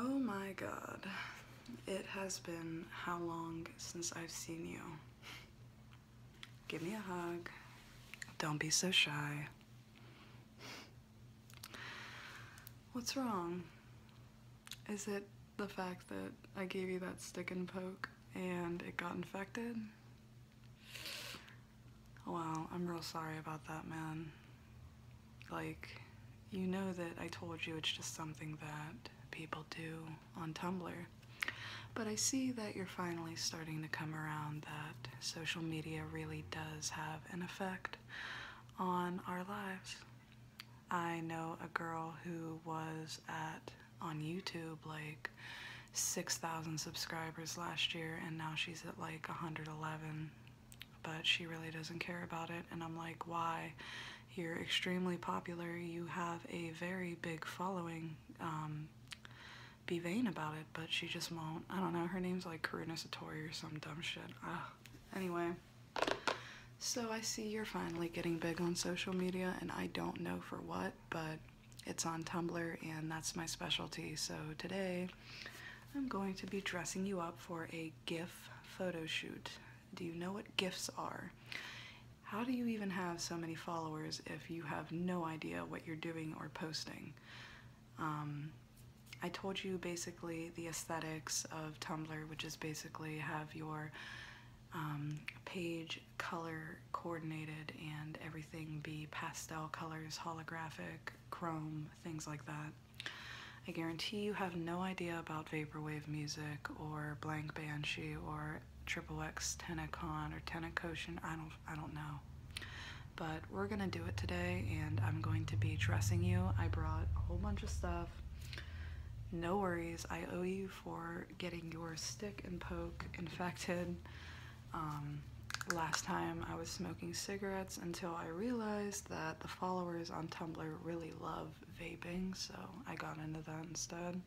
Oh my god. It has been how long since I've seen you? Give me a hug. Don't be so shy. What's wrong? Is it the fact that I gave you that stick and poke and it got infected? Wow, I'm real sorry about that, man. Like, you know that I told you it's just something that people do on Tumblr. But I see that you're finally starting to come around that social media really does have an effect on our lives. I know a girl who was at on YouTube like 6,000 subscribers last year and now she's at like 111 but she really doesn't care about it. And I'm like, why? You're extremely popular. You have a very big following. Um, be vain about it, but she just won't. I don't know. Her name's like Karuna Satori or some dumb shit. Ugh. Anyway, so I see you're finally getting big on social media, and I don't know for what, but it's on Tumblr, and that's my specialty. So today I'm going to be dressing you up for a GIF photo shoot. Do you know what GIFs are? How do you even have so many followers if you have no idea what you're doing or posting? Um, I told you basically the aesthetics of Tumblr, which is basically have your um, page color coordinated and everything be pastel colors, holographic, chrome, things like that. I guarantee you have no idea about vaporwave music or Blank Banshee or Triple X Tenacon or Tenacoshin. I don't I don't know. But we're gonna do it today and I'm going to be dressing you. I brought a whole bunch of stuff. No worries, I owe you for getting your stick and poke infected. Um, last time I was smoking cigarettes until I realized that the followers on Tumblr really love vaping, so I got into that instead.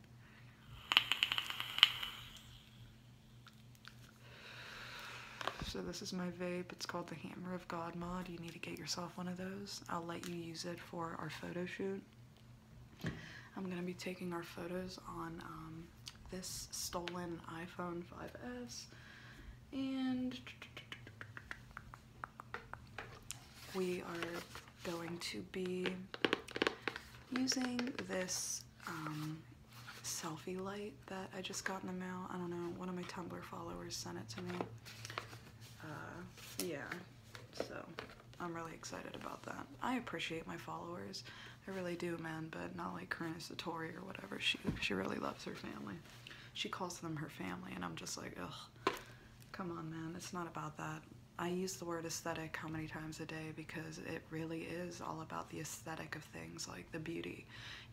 So this is my vape. It's called the Hammer of God mod. You need to get yourself one of those. I'll let you use it for our photo shoot. I'm going to be taking our photos on um, this stolen iPhone 5S and we are going to be using this um, selfie light that I just got in the mail. I don't know, one of my Tumblr followers sent it to me. Uh, yeah, so I'm really excited about that. I appreciate my followers. I really do, man, but not like a Satori or whatever. She, she really loves her family. She calls them her family, and I'm just like, ugh, come on, man. It's not about that. I use the word aesthetic how many times a day because it really is all about the aesthetic of things, like the beauty.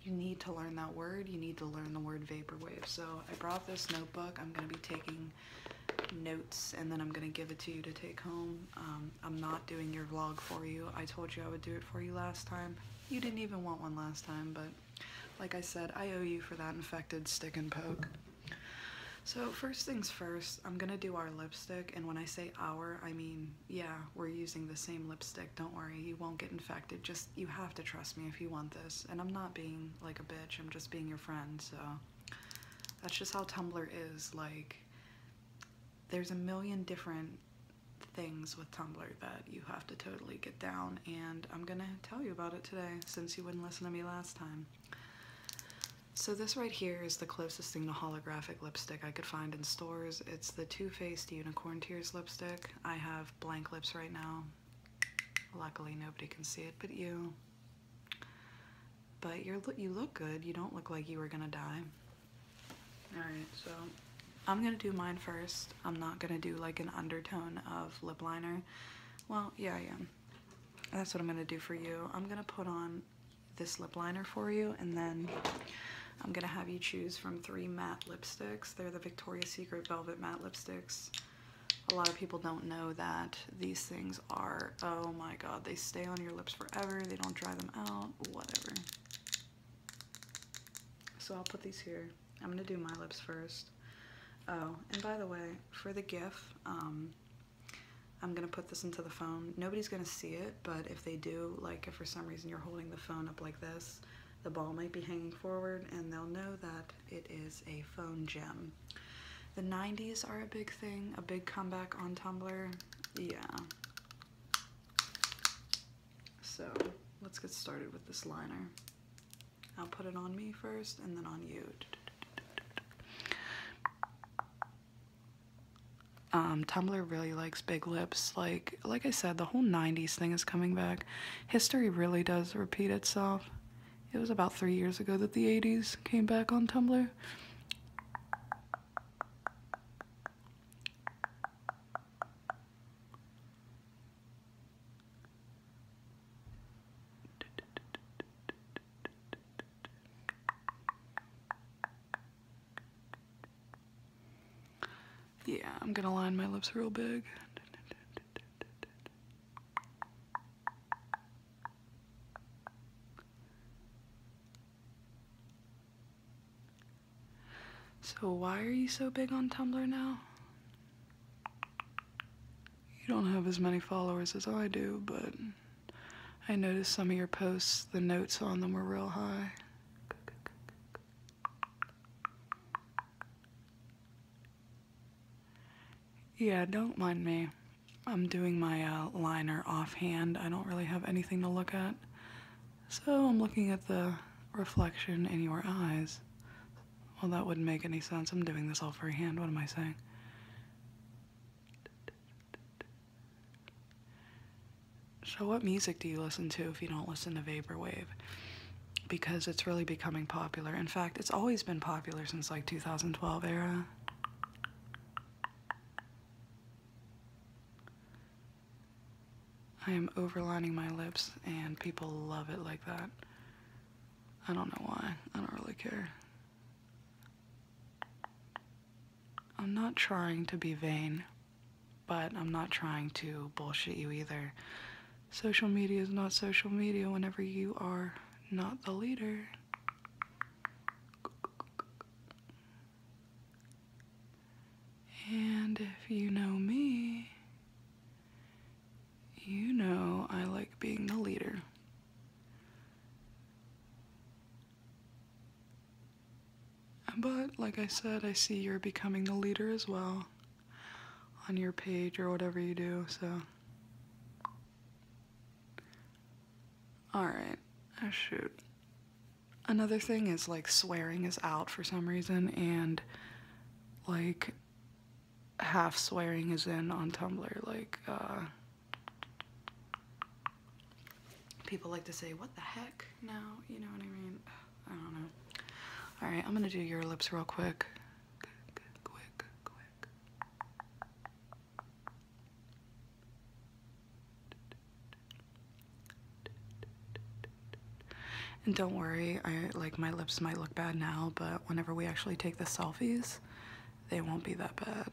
You need to learn that word. You need to learn the word vaporwave. So I brought this notebook. I'm going to be taking notes and then I'm going to give it to you to take home. Um, I'm not doing your vlog for you. I told you I would do it for you last time. You didn't even want one last time, but like I said, I owe you for that infected stick and poke. So first things first, I'm gonna do our lipstick, and when I say our, I mean, yeah, we're using the same lipstick, don't worry, you won't get infected, just, you have to trust me if you want this, and I'm not being like a bitch, I'm just being your friend, so, that's just how Tumblr is, like, there's a million different things with Tumblr that you have to totally get down, and I'm gonna tell you about it today since you wouldn't listen to me last time. So this right here is the closest thing to holographic lipstick I could find in stores. It's the Too Faced Unicorn Tears lipstick. I have blank lips right now. Luckily nobody can see it but you. But you're, you look good. You don't look like you were gonna die. Alright, so I'm gonna do mine first. I'm not gonna do like an undertone of lip liner. Well, yeah, I am. That's what I'm gonna do for you. I'm gonna put on this lip liner for you and then I'm gonna have you choose from three matte lipsticks. They're the Victoria's Secret Velvet Matte Lipsticks. A lot of people don't know that these things are, oh my god, they stay on your lips forever, they don't dry them out, whatever. So I'll put these here. I'm gonna do my lips first. Oh, and by the way, for the GIF, um, I'm gonna put this into the phone. Nobody's gonna see it, but if they do, like if for some reason you're holding the phone up like this, the ball might be hanging forward and they'll know that it is a phone gem. The 90s are a big thing, a big comeback on Tumblr. Yeah. So let's get started with this liner. I'll put it on me first and then on you. Um, Tumblr really likes big lips. Like like I said, the whole 90s thing is coming back. History really does repeat itself. It was about three years ago that the 80s came back on Tumblr. Yeah, I'm gonna line my lips real big. So, why are you so big on Tumblr now? You don't have as many followers as I do, but I noticed some of your posts, the notes on them were real high. Yeah, don't mind me. I'm doing my uh, liner offhand. I don't really have anything to look at. So I'm looking at the reflection in your eyes. Well, that wouldn't make any sense. I'm doing this all freehand. What am I saying? So, what music do you listen to if you don't listen to Vaporwave? Because it's really becoming popular. In fact, it's always been popular since like 2012 era. I am overlining my lips, and people love it like that. I don't know why. I don't really care. I'm not trying to be vain, but I'm not trying to bullshit you either. Social media is not social media whenever you are not the leader. And if you know me, you know I like being the leader. But, like I said, I see you're becoming the leader as well on your page or whatever you do, so. Alright, oh shoot. Another thing is, like, swearing is out for some reason, and, like, half swearing is in on Tumblr. Like, uh, people like to say, what the heck now? You know what I mean? I don't know. All right, I'm gonna do your lips real quick. quick, quick. And don't worry, I like my lips might look bad now, but whenever we actually take the selfies, they won't be that bad.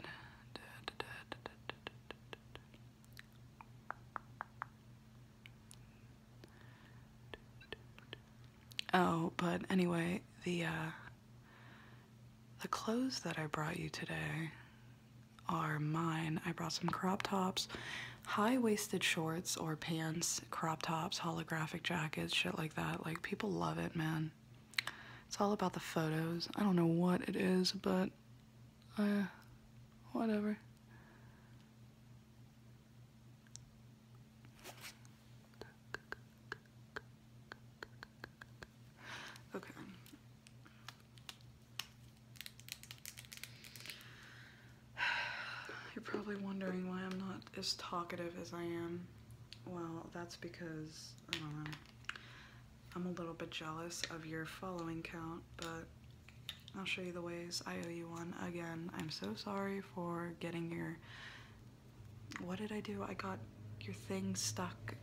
Oh, but anyway, the uh, the clothes that I brought you today are mine. I brought some crop tops high waisted shorts or pants, crop tops, holographic jackets, shit like that. Like, people love it, man. It's all about the photos. I don't know what it is, but uh, whatever. Okay. You're probably wondering why I'm not as talkative as I am. Well, that's because, I don't know, I'm a little bit jealous of your following count, but I'll show you the ways I owe you one. Again, I'm so sorry for getting your, what did I do? I got your thing stuck,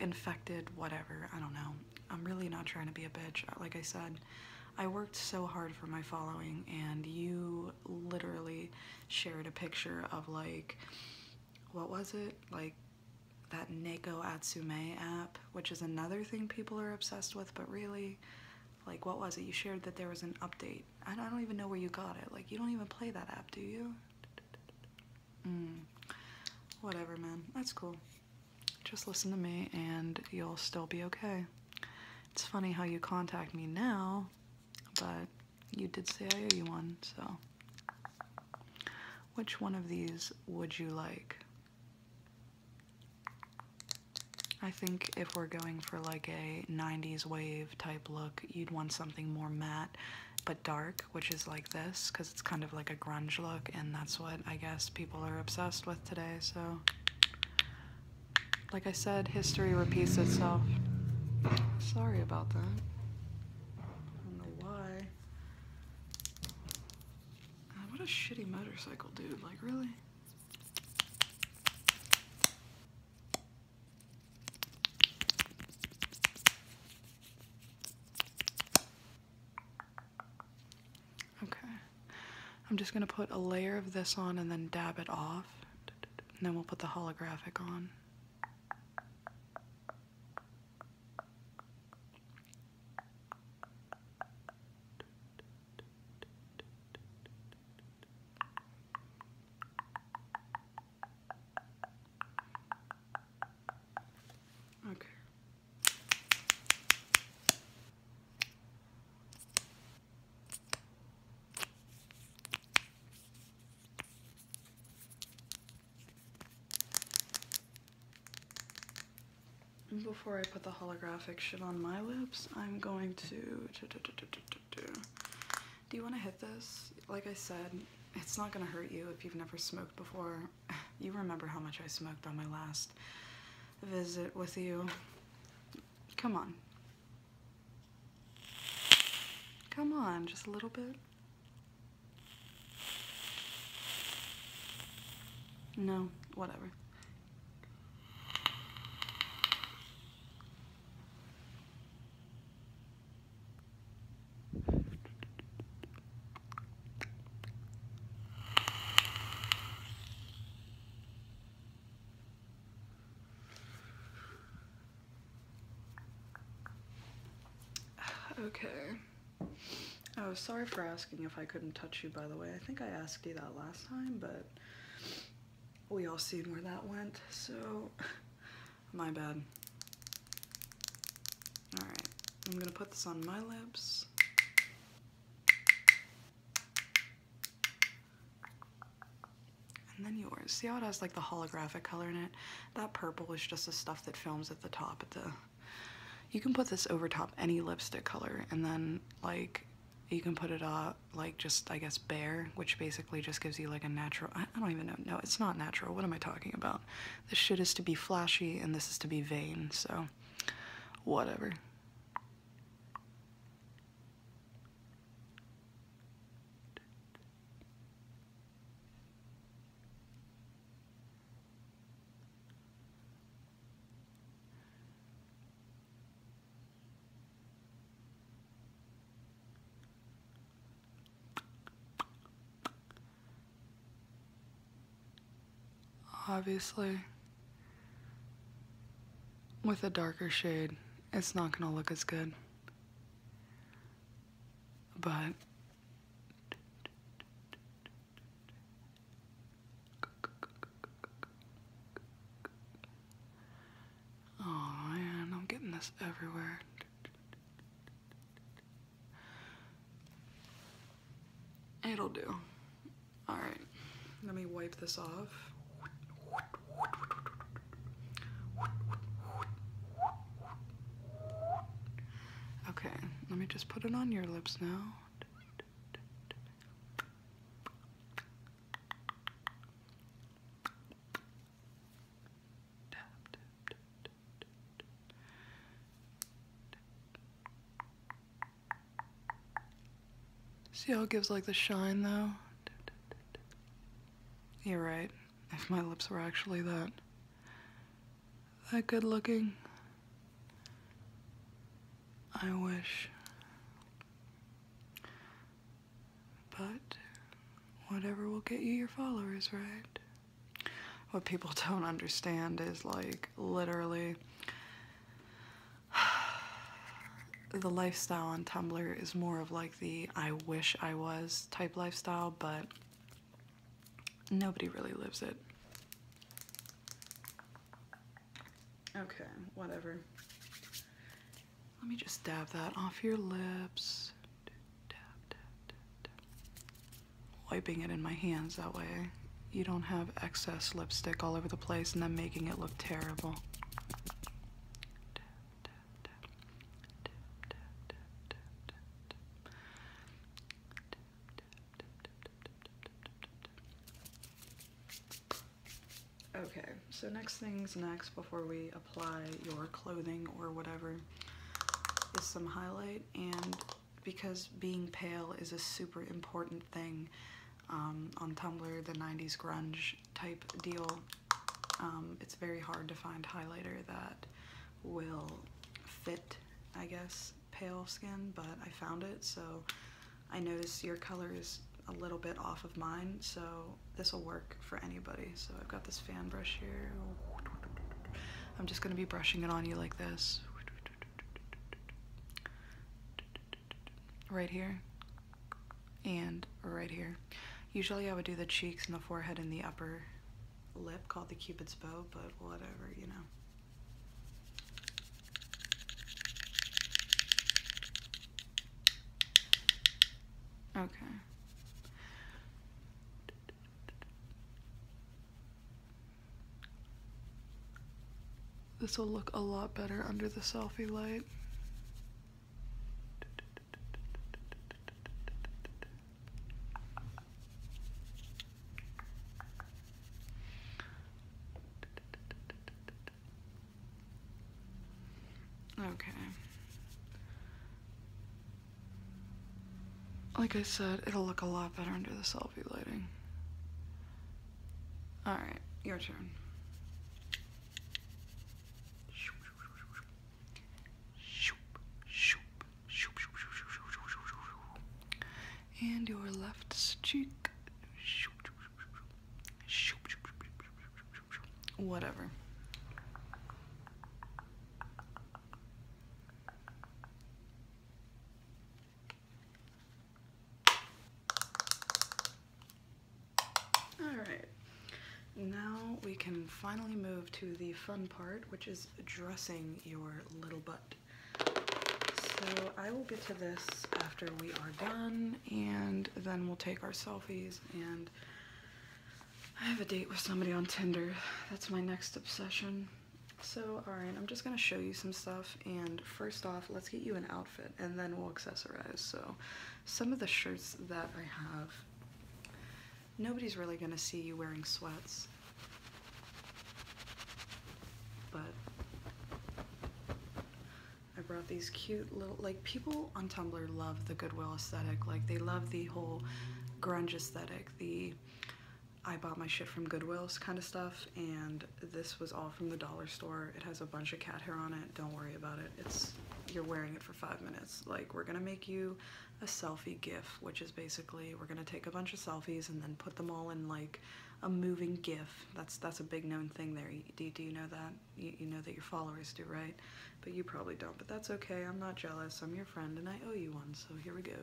infected, whatever, I don't know. I'm really not trying to be a bitch. Like I said, I worked so hard for my following, and you literally shared a picture of like, what was it? Like that Neko Atsume app, which is another thing people are obsessed with, but really, like, what was it? You shared that there was an update. I don't, even know where you got it. Like, you don't even play that app, do you? Mm. Whatever, man. That's cool. Just listen to me, and you'll still be okay. It's funny how you contact me now, but you did say I owe you one, so. Which one of these would you like? I think if we're going for like a 90s wave type look, you'd want something more matte but dark, which is like this, because it's kind of like a grunge look, and that's what I guess people are obsessed with today, so like I said, history repeats itself. Sorry about that. I don't know why. Uh, what a shitty motorcycle, dude. Like, really? Okay. I'm just gonna put a layer of this on and then dab it off. And then we'll put the holographic on. Okay. Before I put the holographic shit on my lips, I'm going to. Do, you want to hit this? Like I said, it's not going to hurt you if you've never smoked before. You remember how much I smoked on my last visit with you. Come on. Come on, just a little bit. No, whatever. Okay. Oh, sorry for asking if I couldn't touch you, by the way. I think I asked you that last time, but we all seen where that went, so my bad. Alright, I'm gonna put this on my lips. And then yours. See how it has like the holographic color in it? That purple is just the stuff that films at the top at the you can put this over top any lipstick color and then like you can put it up like just I guess bare which basically just gives you like a natural I don't even know no it's not natural what am I talking about this shit is to be flashy and this is to be vain so whatever Obviously, with a darker shade it's not going to look as good. But Oh man, I'm getting this everywhere. It'll do. Alright, let me wipe this off. Okay, let me just put it on your lips now. See how it gives like the shine though? You're right. If my lips were actually that that good looking. I wish. But whatever will get you your followers, right? What people don't understand is like literally the lifestyle on Tumblr is more of like the I wish I was type lifestyle, but nobody really lives it. Okay, whatever. Let me just dab that off your lips. Wiping it in my hands that way you don't have excess lipstick all over the place and then making it look terrible. Okay, so next things next before we apply your clothing or whatever is some highlight and because being pale is a super important thing um, on Tumblr, the 90s grunge type deal, um, it's very hard to find highlighter that will fit, I guess, pale skin, but I found it, so I noticed your color is a little bit off of mine, so this will work for anybody. So I've got this fan brush here. I'm just gonna be brushing it on you like this. Right here, and right here. Usually I would do the cheeks and the forehead and the upper lip called the cupid's bow, but whatever, you know. Okay. This will look a lot better under the selfie light. Okay. Like I said, it'll look a lot better under the selfie lighting. Alright, your turn and your left cheek. Whatever. Alright, now we can finally move to the fun part, which is dressing your little butt. So I will get to this after we are done, and then we'll take our selfies, and I have a date with somebody on Tinder. That's my next obsession. So, alright, I'm just gonna show you some stuff, and first off, let's get you an outfit, and then we'll accessorize, so some of the shirts that I have, nobody's really going to see you wearing sweats. But I brought these cute little, like, people on Tumblr love the Goodwill aesthetic. Like, they love the whole grunge aesthetic, the I bought my shit from Goodwill's kind of stuff, and this was all from the dollar store. It has a bunch of cat hair on it. Don't worry about it. It's you're wearing it for five minutes. Like we're gonna make you a selfie GIF, which is basically we're gonna take a bunch of selfies and then put them all in like a moving GIF. That's that's a big known thing there. Do, do you know that? You, you know that your followers do, right? But you probably don't. But that's okay. I'm not jealous. I'm your friend and I owe you one. So here we go.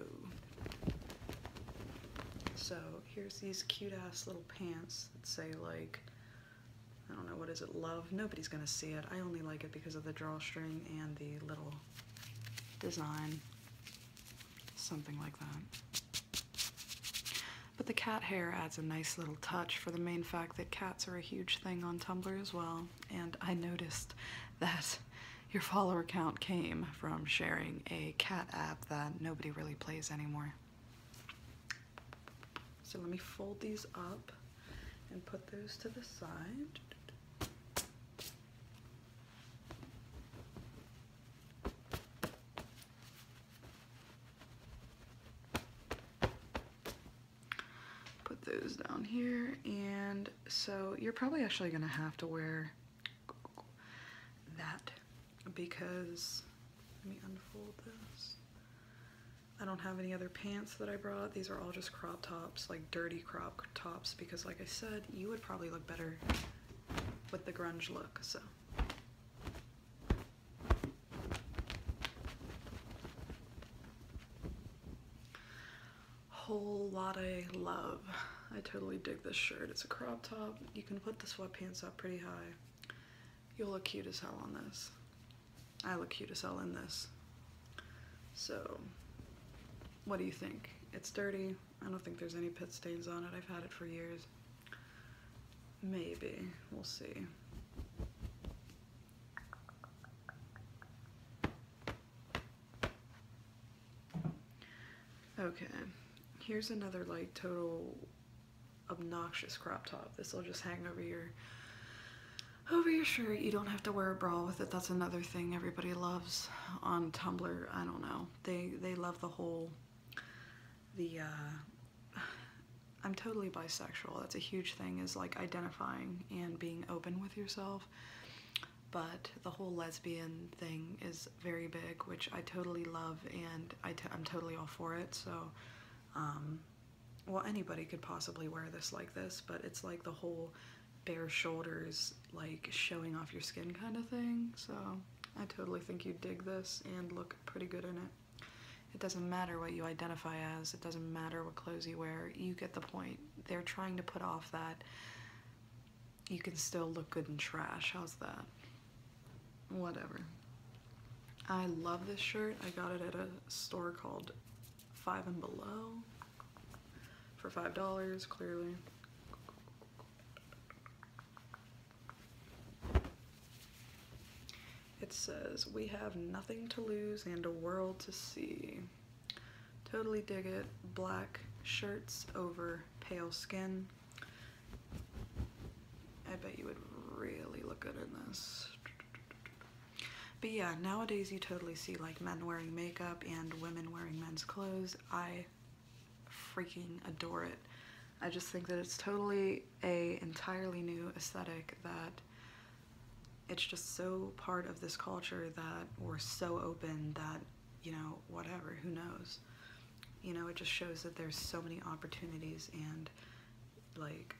So here's these cute ass little pants that say like I don't know, what is it, Love? Nobody's gonna see it. I only like it because of the drawstring and the little design, something like that. But the cat hair adds a nice little touch for the main fact that cats are a huge thing on Tumblr as well, and I noticed that your follower count came from sharing a cat app that nobody really plays anymore. So let me fold these up and put those to the side. Put those down here and so you're probably actually gonna have to wear that because let me unfold this I don't have any other pants that I brought. These are all just crop tops, like dirty crop tops, because like I said, you would probably look better with the grunge look, so. Whole lot of love. I totally dig this shirt. It's a crop top. You can put the sweatpants up pretty high. You'll look cute as hell on this. I look cute as hell in this. So, what do you think? It's dirty. I don't think there's any pit stains on it. I've had it for years. Maybe. We'll see. Okay, here's another like total obnoxious crop top. This will just hang over your over your shirt. You don't have to wear a bra with it. That's another thing everybody loves on Tumblr. I don't know. They they love the whole the uh I'm totally bisexual. That's a huge thing is like identifying and being open with yourself. But the whole lesbian thing is very big, which I totally love and i t I'm totally all for it. So um well anybody could possibly wear this like this but it's like the whole bare shoulders like showing off your skin kind of thing so I totally think you dig this and look pretty good in it it doesn't matter what you identify as it doesn't matter what clothes you wear you get the point they're trying to put off that you can still look good in trash how's that whatever I love this shirt I got it at a store called five and below for five dollars clearly it says we have nothing to lose and a world to see totally dig it black shirts over pale skin I bet you would really look good in this but yeah, nowadays you totally see like men wearing makeup and women wearing men's clothes. I freaking adore it. I just think that it's totally a entirely new aesthetic that it's just so part of this culture that we're so open that, you know, whatever, who knows. You know, it just shows that there's so many opportunities and like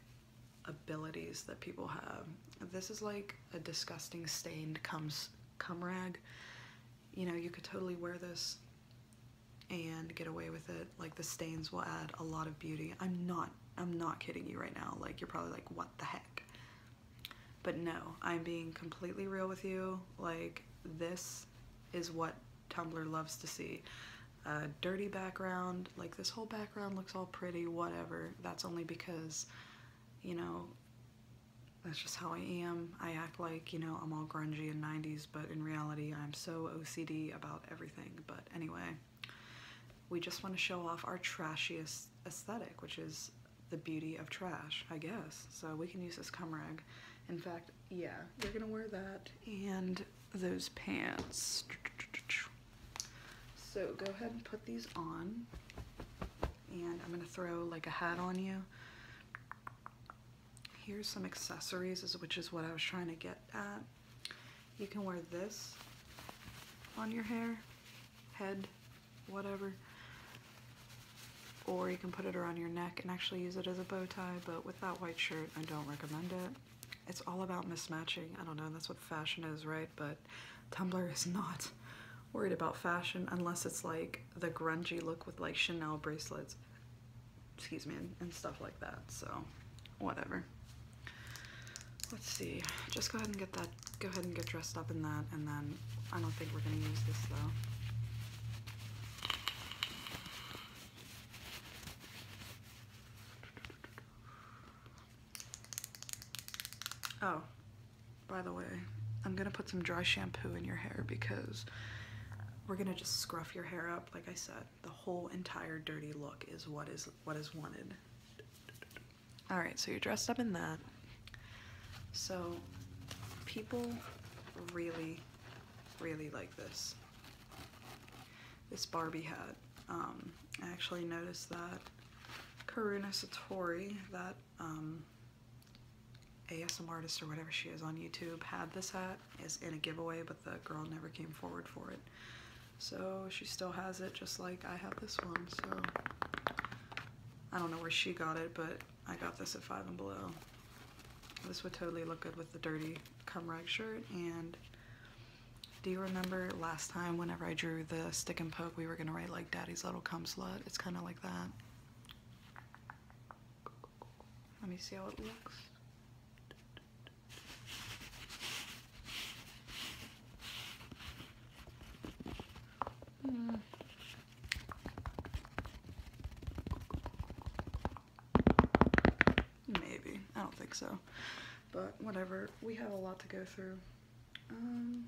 abilities that people have. This is like a disgusting stained cum, cum rag. You know, you could totally wear this and get away with it. Like the stains will add a lot of beauty. I'm not, I'm not kidding you right now. Like you're probably like, what the heck? But no, I'm being completely real with you. Like this is what Tumblr loves to see. A dirty background, like this whole background looks all pretty, whatever that's only because, you know, that's just how I am. I act like, you know, I'm all grungy and 90s, but in reality, I'm so OCD about everything. But anyway, we just want to show off our trashiest aesthetic, which is the beauty of trash, I guess. So we can use this cum rag. In fact, yeah, we're gonna wear that and those pants. So go ahead and put these on. And I'm gonna throw like a hat on you. Here's some accessories, which is what I was trying to get at. You can wear this on your hair, head, whatever. Or you can put it around your neck and actually use it as a bow tie, but with that white shirt, I don't recommend it it's all about mismatching. I don't know, that's what fashion is, right? But Tumblr is not worried about fashion unless it's like the grungy look with like Chanel bracelets, excuse me, and, and stuff like that. So, whatever. Let's see. Just go ahead and get that. Go ahead and get dressed up in that, and then I don't think we're gonna use this though. Oh, by the way, I'm gonna put some dry shampoo in your hair because we're gonna just scruff your hair up. Like I said, the whole entire dirty look is what is what is wanted. All right, so you're dressed up in that. So people really, really like this this Barbie hat. Um, I actually noticed that Karuna Satori, that um, ASM artist or whatever she is on YouTube, had this hat, is in a giveaway, but the girl never came forward for it. So she still has it, just like I have this one, so I don't know where she got it, but I got this at Five and Below. This would totally look good with the dirty cum rag shirt and do you remember last time whenever I drew the stick and poke, we were gonna write like daddy's little cum slut? It's kind of like that. Let me see how it looks. Hmm. Maybe. I don't think so. But whatever. We have a lot to go through. Um,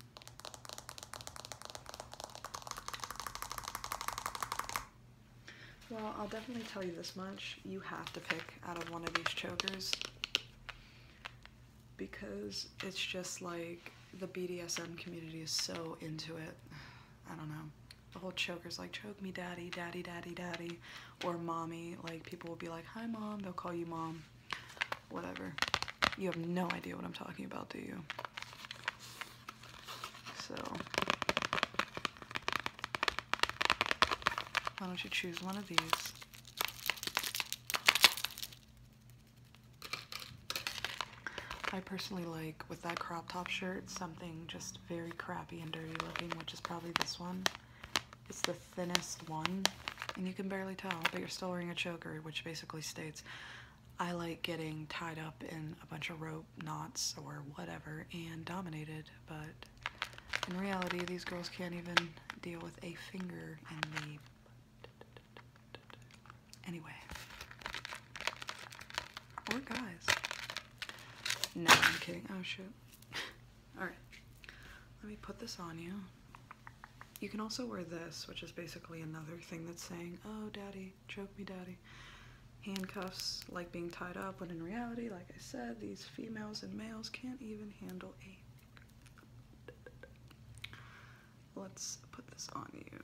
well, I'll definitely tell you this much. You have to pick out of one of these chokers because it's just like the BDSM community is so into it. I don't know. The whole choker's like, choke me daddy, daddy, daddy, daddy, or mommy. Like, people will be like, hi mom, they'll call you mom whatever. You have no idea what I'm talking about, do you? So, why don't you choose one of these? I personally like, with that crop top shirt, something just very crappy and dirty looking, which is probably this one. It's the thinnest one, and you can barely tell, but you're still wearing a choker, which basically states, I like getting tied up in a bunch of rope knots or whatever and dominated, but in reality, these girls can't even deal with a finger in the... Anyway. Or guys. No, I'm kidding. Oh, shit. All right, let me put this on you. You can also wear this, which is basically another thing that's saying, oh, daddy, choke me, daddy. Handcuffs like being tied up, but in reality, like I said, these females and males can't even handle a. Let's put this on you.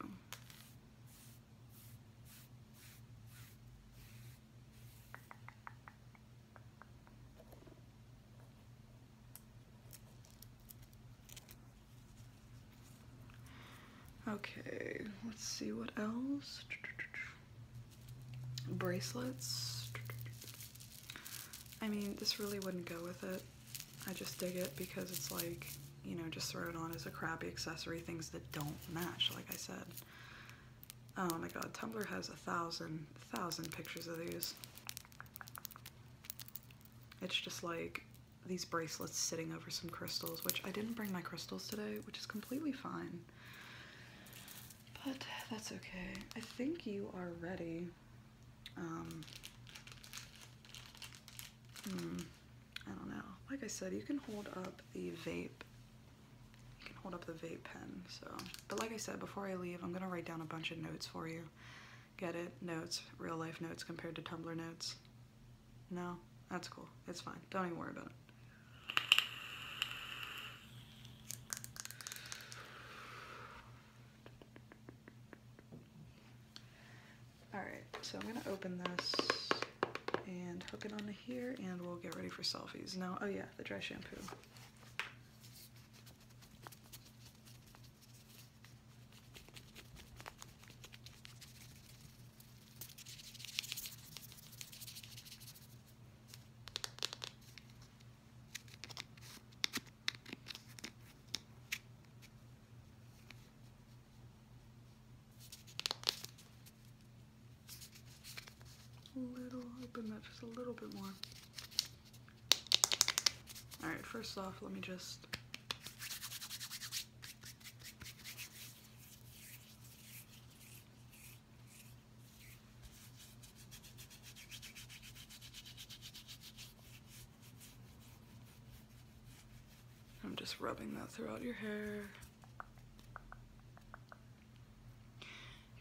Okay, let's see what else. Bracelets. I mean, this really wouldn't go with it. I just dig it because it's like, you know, just throw it on as a crappy accessory, things that don't match, like I said. Oh my god, Tumblr has a thousand, thousand pictures of these. It's just like these bracelets sitting over some crystals, which I didn't bring my crystals today, which is completely fine. But that's okay. I think you are ready. Um, hmm, I don't know. Like I said, you can hold up the vape. You can hold up the vape pen. So, but like I said, before I leave, I'm gonna write down a bunch of notes for you get it, notes, real life notes compared to Tumblr notes. No, that's cool. It's fine. Don't even worry about it. Alright, so I'm gonna open this and hook it onto here and we'll get ready for selfies. Now, oh yeah, the dry shampoo. A little, open that just a little bit more. Alright, first off, let me just. I'm just rubbing that throughout your hair.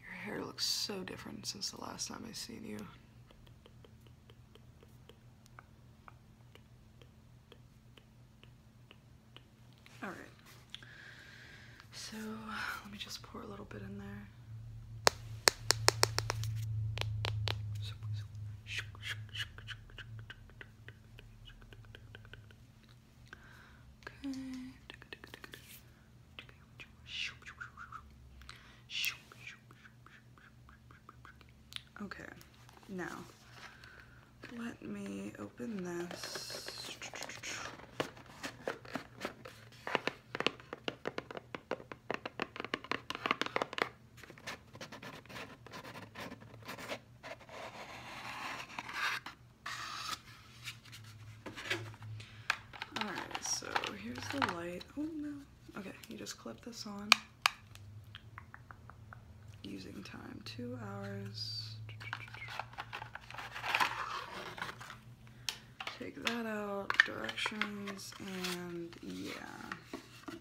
Your hair looks so different since the last time I seen you. All right. So let me just pour a little bit in there. Okay. Okay, now let me open this. All right, so here's the light. Oh no. Okay, you just clip this on. Using time, two hours. Take that out, directions, and yeah.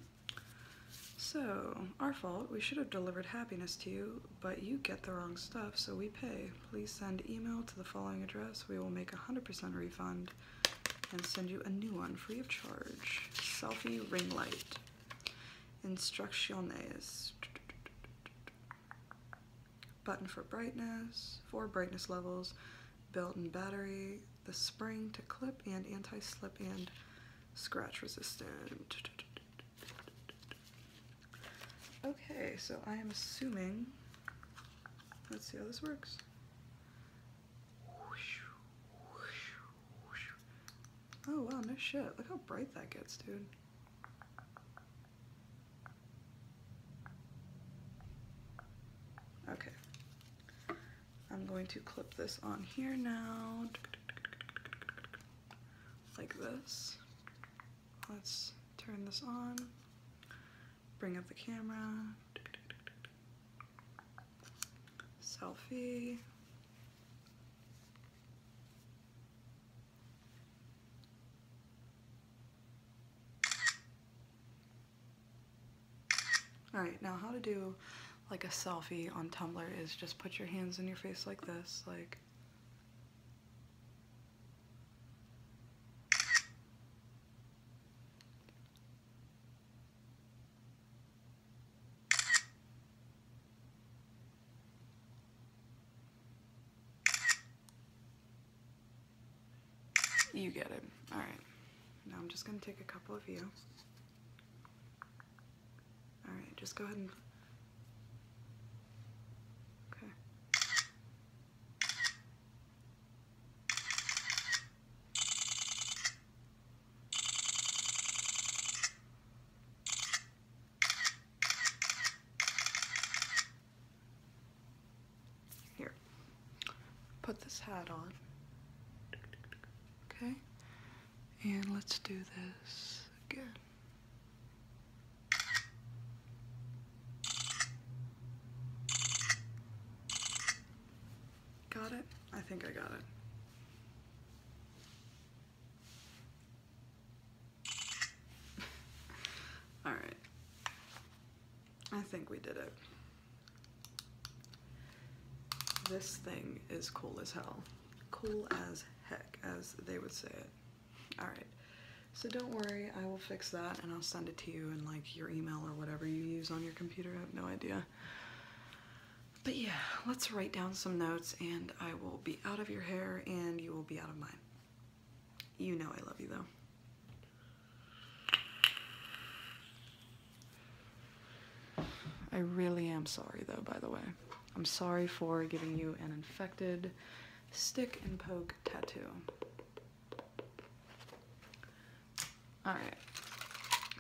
So, our fault, we should have delivered happiness to you, but you get the wrong stuff, so we pay. Please send email to the following address. We will make a 100% refund and send you a new one free of charge. Selfie ring light. Instrucciones. Button for brightness, four brightness levels, built-in battery, the spring to clip and anti-slip and scratch resistant. Okay, so I am assuming, let's see how this works. Oh wow, no shit. Look how bright that gets, dude. Okay. I'm going to clip this on here now. Like this. Let's turn this on bring up the camera, selfie. All right, now how to do like a selfie on Tumblr is just put your hands in your face like this, like you get it. All right. Now I'm just going to take a couple of you. All right, just go ahead and... Okay. Here, put this hat on. Okay, and let's do this again. Got it? I think I got it. All right. I think we did it. This thing is cool as hell. Cool as heck, as they would say it. All right. So don't worry, I will fix that and I'll send it to you and like your email or whatever you use on your computer. I have no idea. But yeah, let's write down some notes and I will be out of your hair and you will be out of mine. You know I love you though. I really am sorry though, by the way. I'm sorry for giving you an infected stick and poke tattoo. All right.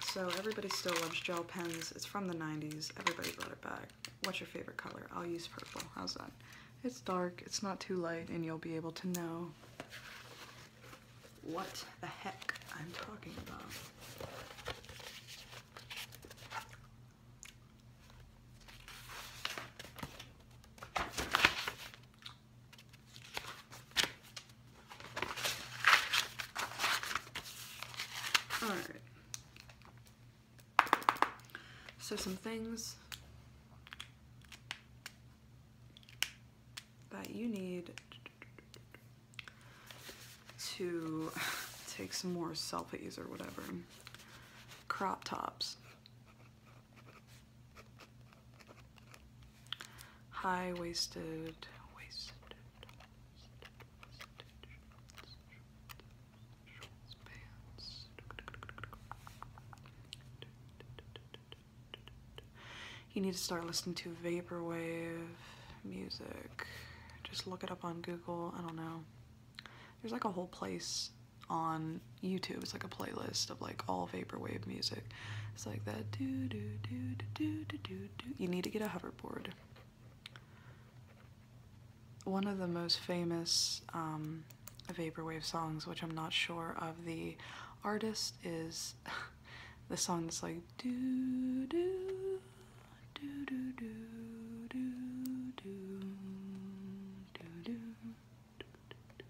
So everybody still loves gel pens. It's from the 90s. Everybody brought it back. What's your favorite color? I'll use purple. How's that? It's dark, it's not too light, and you'll be able to know what the heck I'm talking about. All right. So some things that you need to take some more selfies or whatever. Crop tops high waisted, waisted, You need to start listening to vaporwave music. Just look it up on Google. I don't know. There's like a whole place on YouTube. It's like a playlist of like all vaporwave music. It's like that do do do do do do do. You need to get a hoverboard. One of the most famous um, vaporwave songs, which I'm not sure of the artist, is the song that's like do do do do do do do do do do.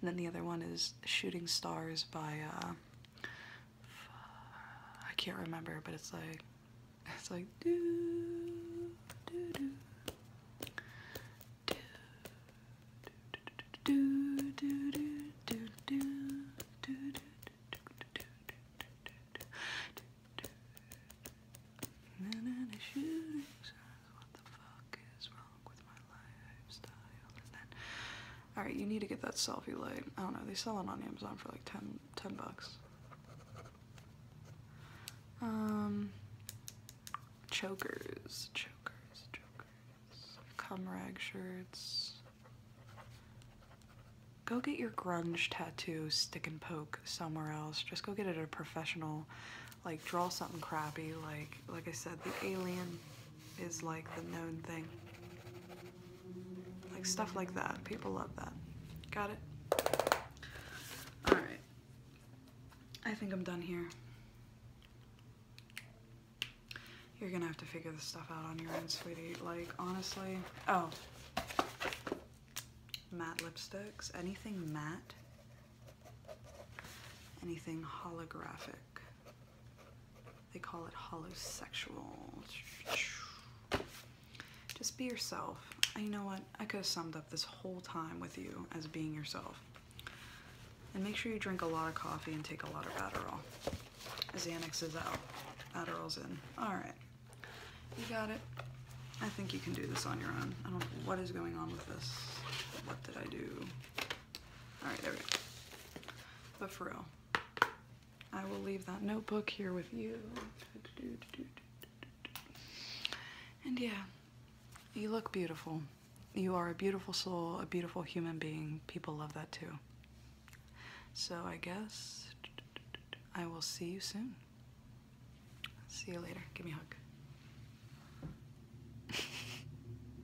And then the other one is Shooting Stars by uh I can't remember, but it's like it's like do do do do do do do do do do and then a shooting stars, what the fuck is wrong Alright, you need to get that selfie light. I don't know, they sell it on Amazon for like 10, bucks. Um, chokers, chokers, chokers, cum rag shirts. Go get your grunge tattoo stick and poke somewhere else. Just go get it at a professional, like draw something crappy, like like I said, the alien is like the known thing. Like stuff like that. People love that. Got it? Alright. I think I'm done here. You're gonna have to figure this stuff out on your own, sweetie. Like, honestly. Oh. Matte lipsticks. Anything matte. Anything holographic. They call it sexual. Just be yourself. you know what? I could have summed up this whole time with you as being yourself. And make sure you drink a lot of coffee and take a lot of Adderall. Xanax is out. Adderall's in. Alright. You got it. I think you can do this on your own. I don't what is going on with this? What did I do? All right, there we go. But for real, I will leave that notebook here with you. And yeah, you look beautiful. You are a beautiful soul, a beautiful human being. People love that too. So I guess I will see you soon. See you later. Give me a hug.